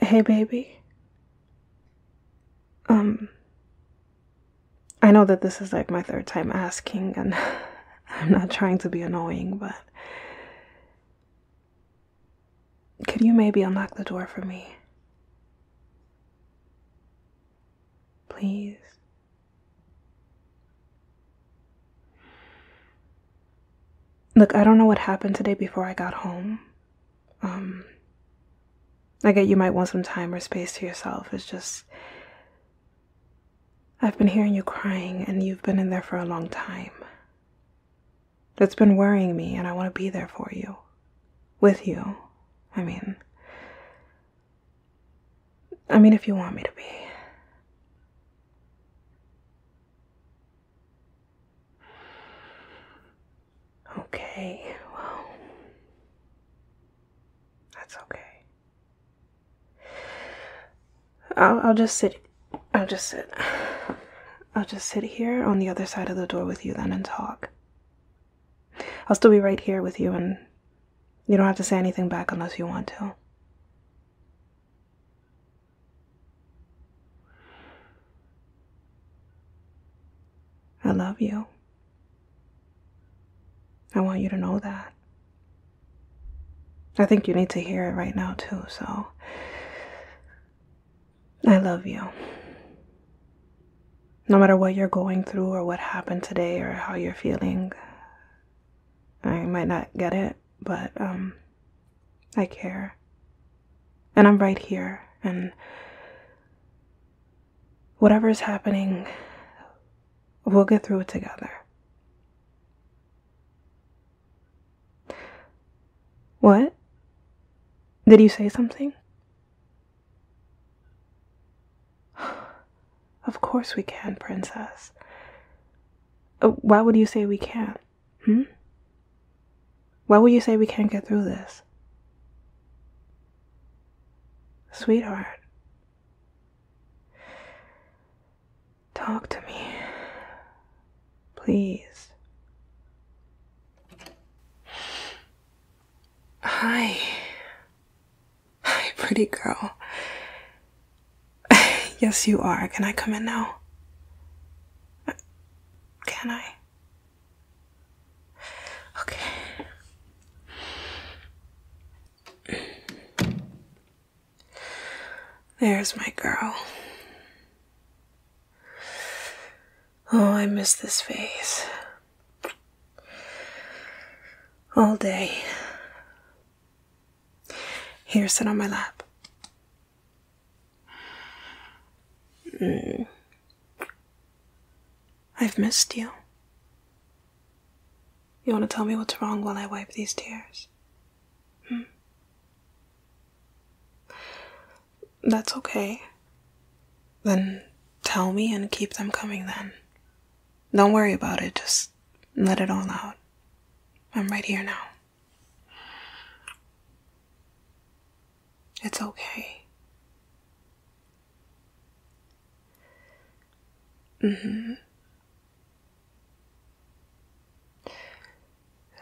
Hey, baby. Um, I know that this is like my third time asking, and I'm not trying to be annoying, but could you maybe unlock the door for me? Please. Look, I don't know what happened today before I got home. Um, I get you might want some time or space to yourself. It's just. I've been hearing you crying, and you've been in there for a long time. That's been worrying me, and I want to be there for you. With you. I mean. I mean, if you want me to be. Okay, well, that's okay. I'll, I'll just sit. I'll just sit. I'll just sit here on the other side of the door with you then and talk. I'll still be right here with you, and you don't have to say anything back unless you want to. I love you. I want you to know that. I think you need to hear it right now, too, so. I love you. No matter what you're going through or what happened today or how you're feeling, I might not get it but um, I care. And I'm right here and whatever is happening we'll get through it together. What? Did you say something? Of course we can, princess. Oh, why would you say we can't? Hmm? Why would you say we can't get through this? Sweetheart, talk to me. Please. Hi. Hi, pretty girl. yes, you are. Can I come in now? Can I? Okay. There's my girl. Oh, I miss this face. All day. Here, sit on my lap. Mm. I've missed you. You want to tell me what's wrong while I wipe these tears? Hmm? That's okay. Then tell me and keep them coming then. Don't worry about it, just let it all out. I'm right here now. It's okay. Mm-hmm.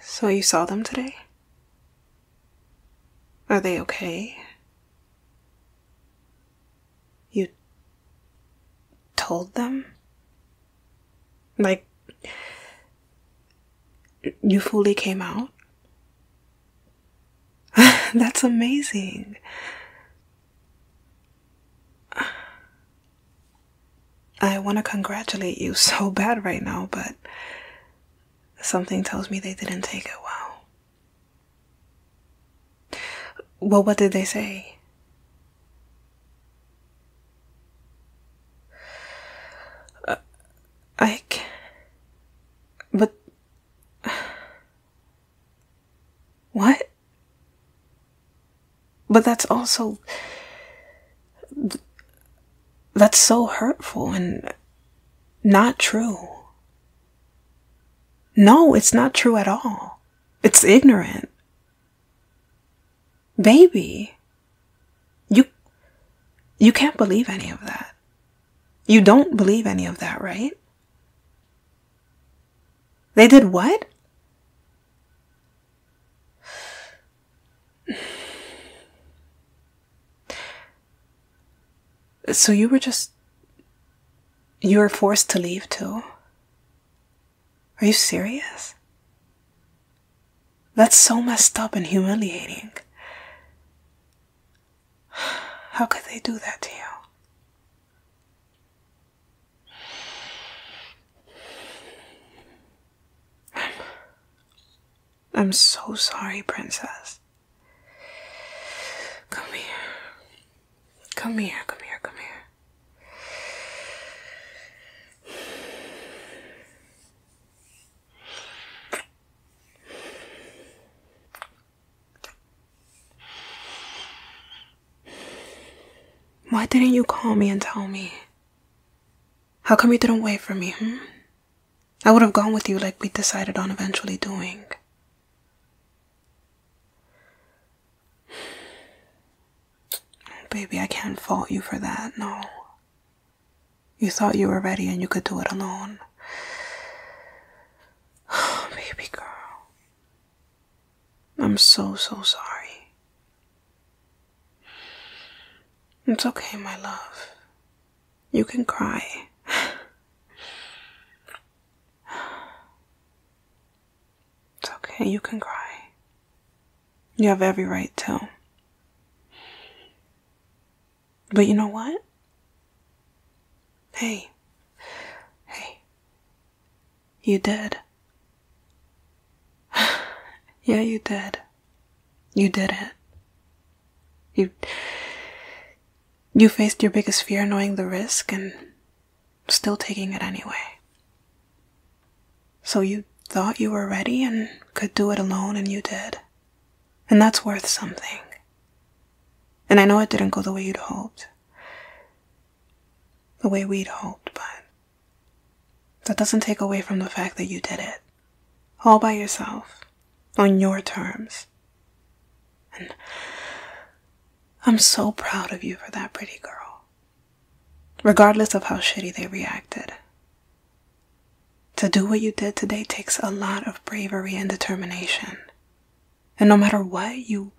So you saw them today? Are they okay? You told them? Like, you fully came out? That's amazing. I want to congratulate you so bad right now, but something tells me they didn't take it well. Well, what did they say? Uh, I can't. But. What? But that's also. That's so hurtful and not true. No, it's not true at all. It's ignorant. Baby, you you can't believe any of that. You don't believe any of that, right? They did what? So you were just you were forced to leave too? Are you serious? That's so messed up and humiliating. How could they do that to you? I'm so sorry, princess. Come here. Come here, come here, come here. Why didn't you call me and tell me? How come you didn't wait for me, hmm? I would have gone with you like we decided on eventually doing. Baby, I can't fault you for that, no. You thought you were ready and you could do it alone. baby girl. I'm so, so sorry. It's okay, my love. You can cry. It's okay, you can cry. You have every right to. But you know what? Hey, hey, you did. yeah, you did. You did it. You, you faced your biggest fear knowing the risk and still taking it anyway. So you thought you were ready and could do it alone, and you did. And that's worth something. And I know it didn't go the way you'd hoped, the way we'd hoped, but that doesn't take away from the fact that you did it all by yourself on your terms. And I'm so proud of you for that pretty girl, regardless of how shitty they reacted. To do what you did today takes a lot of bravery and determination. And no matter what, you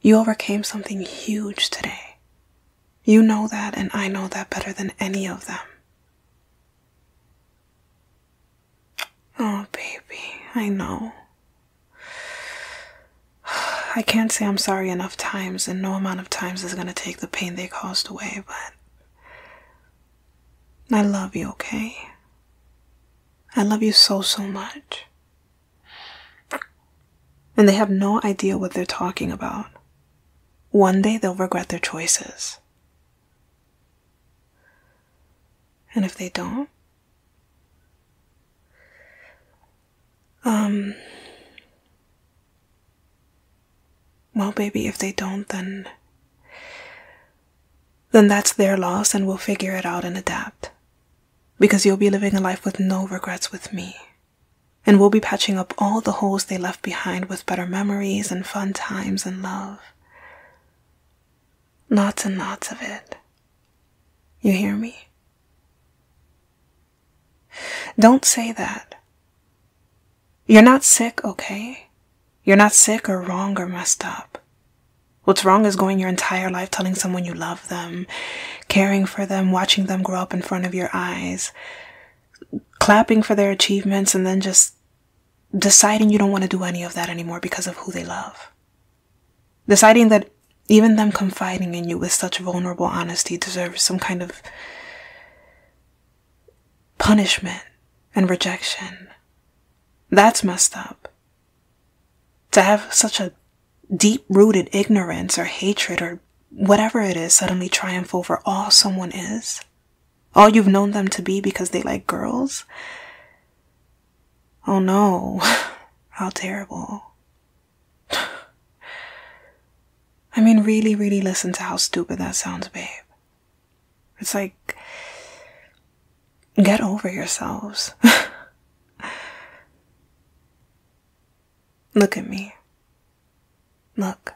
you overcame something huge today. You know that and I know that better than any of them. Oh, baby, I know. I can't say I'm sorry enough times, and no amount of times is gonna take the pain they caused away, but I love you, okay? I love you so, so much. And they have no idea what they're talking about. One day they'll regret their choices. And if they don't, um, well, baby, if they don't, then then that's their loss and we'll figure it out and adapt. Because you'll be living a life with no regrets with me. And we'll be patching up all the holes they left behind with better memories and fun times and love. Lots and lots of it. You hear me? Don't say that. You're not sick, okay? You're not sick or wrong or messed up. What's wrong is going your entire life telling someone you love them, caring for them, watching them grow up in front of your eyes, clapping for their achievements, and then just deciding you don't want to do any of that anymore because of who they love. Deciding that even them confiding in you with such vulnerable honesty deserves some kind of punishment and rejection. That's messed up. To have such a deep rooted ignorance or hatred or whatever it is suddenly triumph over all someone is all you've known them to be because they like girls? Oh no, how terrible. I mean, really, really listen to how stupid that sounds, babe. It's like, get over yourselves. Look at me. Look,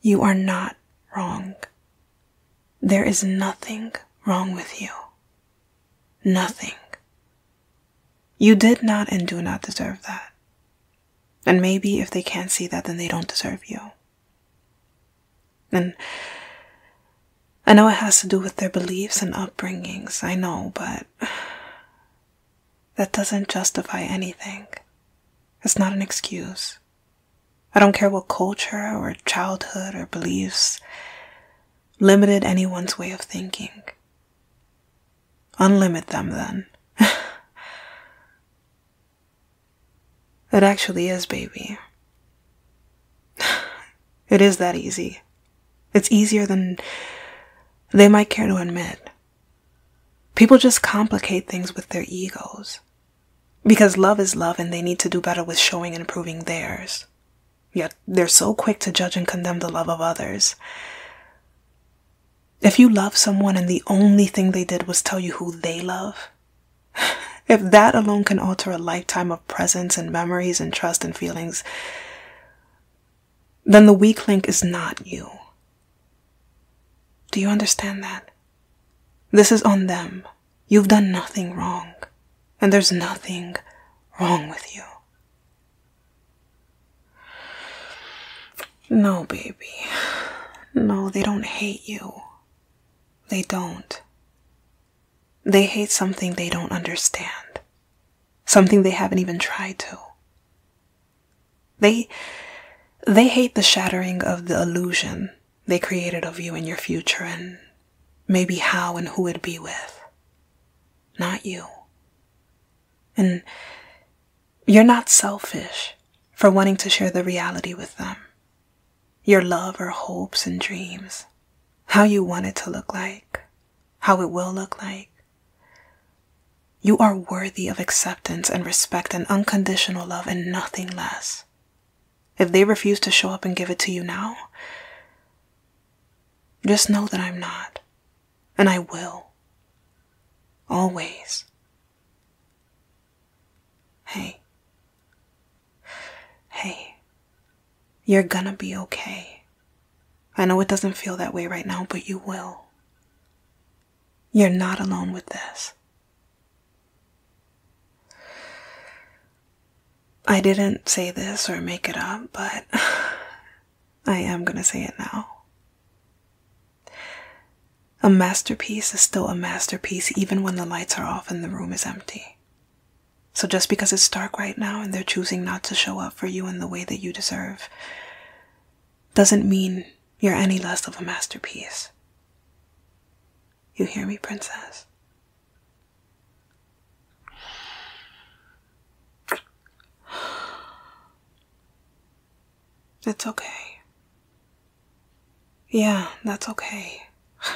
you are not wrong. There is nothing wrong with you. Nothing. You did not and do not deserve that. And maybe if they can't see that, then they don't deserve you. And I know it has to do with their beliefs and upbringings, I know, but that doesn't justify anything. It's not an excuse. I don't care what culture or childhood or beliefs limited anyone's way of thinking. Unlimit them then. it actually is, baby. It is that easy. It's easier than they might care to admit. People just complicate things with their egos. Because love is love and they need to do better with showing and proving theirs. Yet they're so quick to judge and condemn the love of others. If you love someone and the only thing they did was tell you who they love, if that alone can alter a lifetime of presence and memories and trust and feelings, then the weak link is not you. Do you understand that? This is on them. You've done nothing wrong, and there's nothing wrong with you. No, baby. No, they don't hate you. They don't. They hate something they don't understand, something they haven't even tried to. They they hate the shattering of the illusion they created of you and your future and maybe how and who it'd be with. Not you. And you're not selfish for wanting to share the reality with them. Your love or hopes and dreams. How you want it to look like. How it will look like. You are worthy of acceptance and respect and unconditional love and nothing less. If they refuse to show up and give it to you now, just know that I'm not, and I will. Always. Hey. Hey. You're gonna be okay. I know it doesn't feel that way right now, but you will. You're not alone with this. I didn't say this or make it up, but I am going to say it now. A masterpiece is still a masterpiece even when the lights are off and the room is empty. So just because it's dark right now and they're choosing not to show up for you in the way that you deserve, doesn't mean you're any less of a masterpiece. You hear me, princess? It's okay. Yeah, that's okay.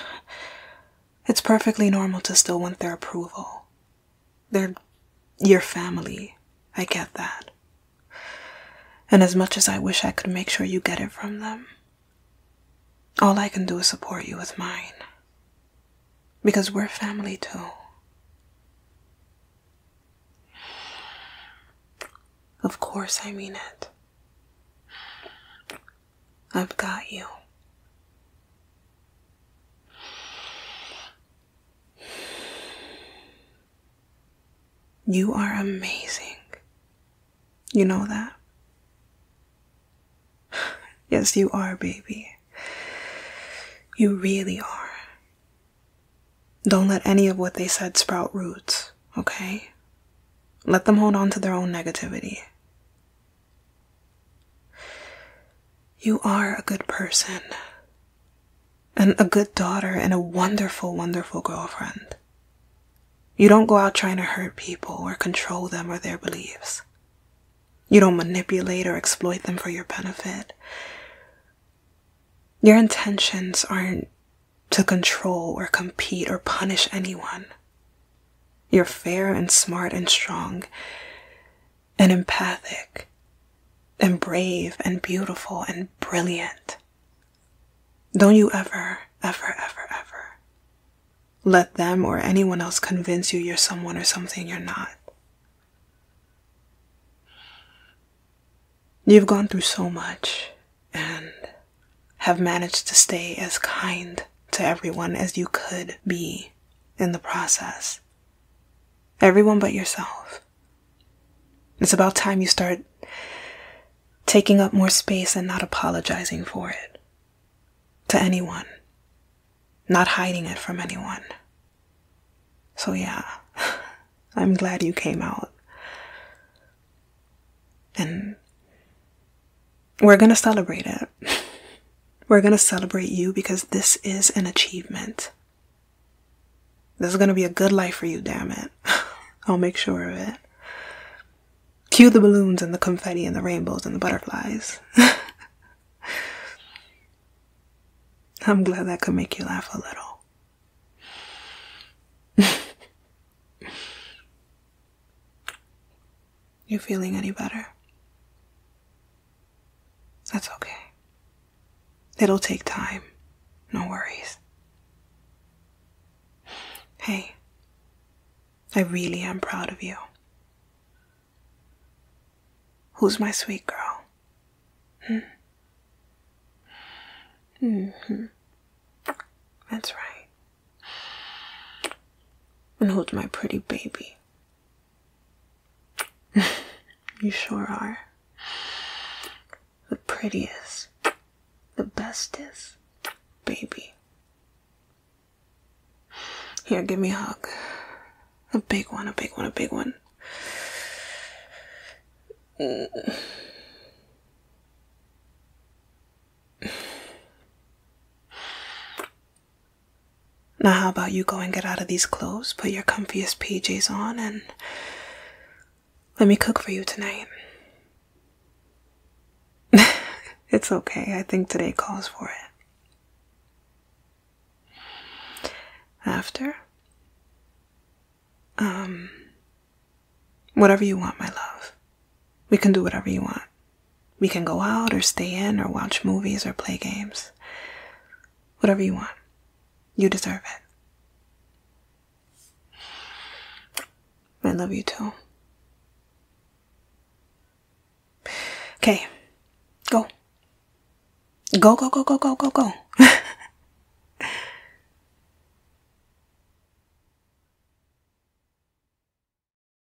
it's perfectly normal to still want their approval they're your family. I get that. And as much as I wish I could make sure you get it from them, all I can do is support you with mine. Because we're family too. Of course, I mean it. I've got you. You are amazing. You know that? Yes, you are, baby. You really are. Don't let any of what they said sprout roots, okay? Let them hold on to their own negativity. You are a good person, and a good daughter, and a wonderful, wonderful girlfriend. You don't go out trying to hurt people or control them or their beliefs. You don't manipulate or exploit them for your benefit. Your intentions aren't to control or compete or punish anyone. You're fair and smart and strong, and empathic and brave and beautiful and brilliant. Don't you ever, ever, ever, ever let them or anyone else convince you you're someone or something you're not. You've gone through so much and have managed to stay as kind to everyone as you could be in the process. Everyone but yourself. It's about time you start taking up more space and not apologizing for it to anyone, not hiding it from anyone. So, yeah, I'm glad you came out. And we're going to celebrate it. We're going to celebrate you because this is an achievement. This is going to be a good life for you, damn it. I'll make sure of it. Cue the balloons and the confetti and the rainbows and the butterflies. I'm glad that could make you laugh a little. you feeling any better? That's okay. It'll take time. No worries. Hey, I really am proud of you. Who's my sweet girl? Hmm. hmm That's right. And who's my pretty baby? you sure are. The prettiest, the bestest, baby. Here, give me a hug. A big one, a big one, a big one. Now, how about you go and get out of these clothes, put your comfiest PJs on, and let me cook for you tonight? it's okay, I think today calls for it. After? Um, whatever you want, my love. We can do whatever you want. We can go out or stay in or watch movies or play games. Whatever you want. You deserve it. I love you too. Okay. Go. Go, go, go, go, go, go, go.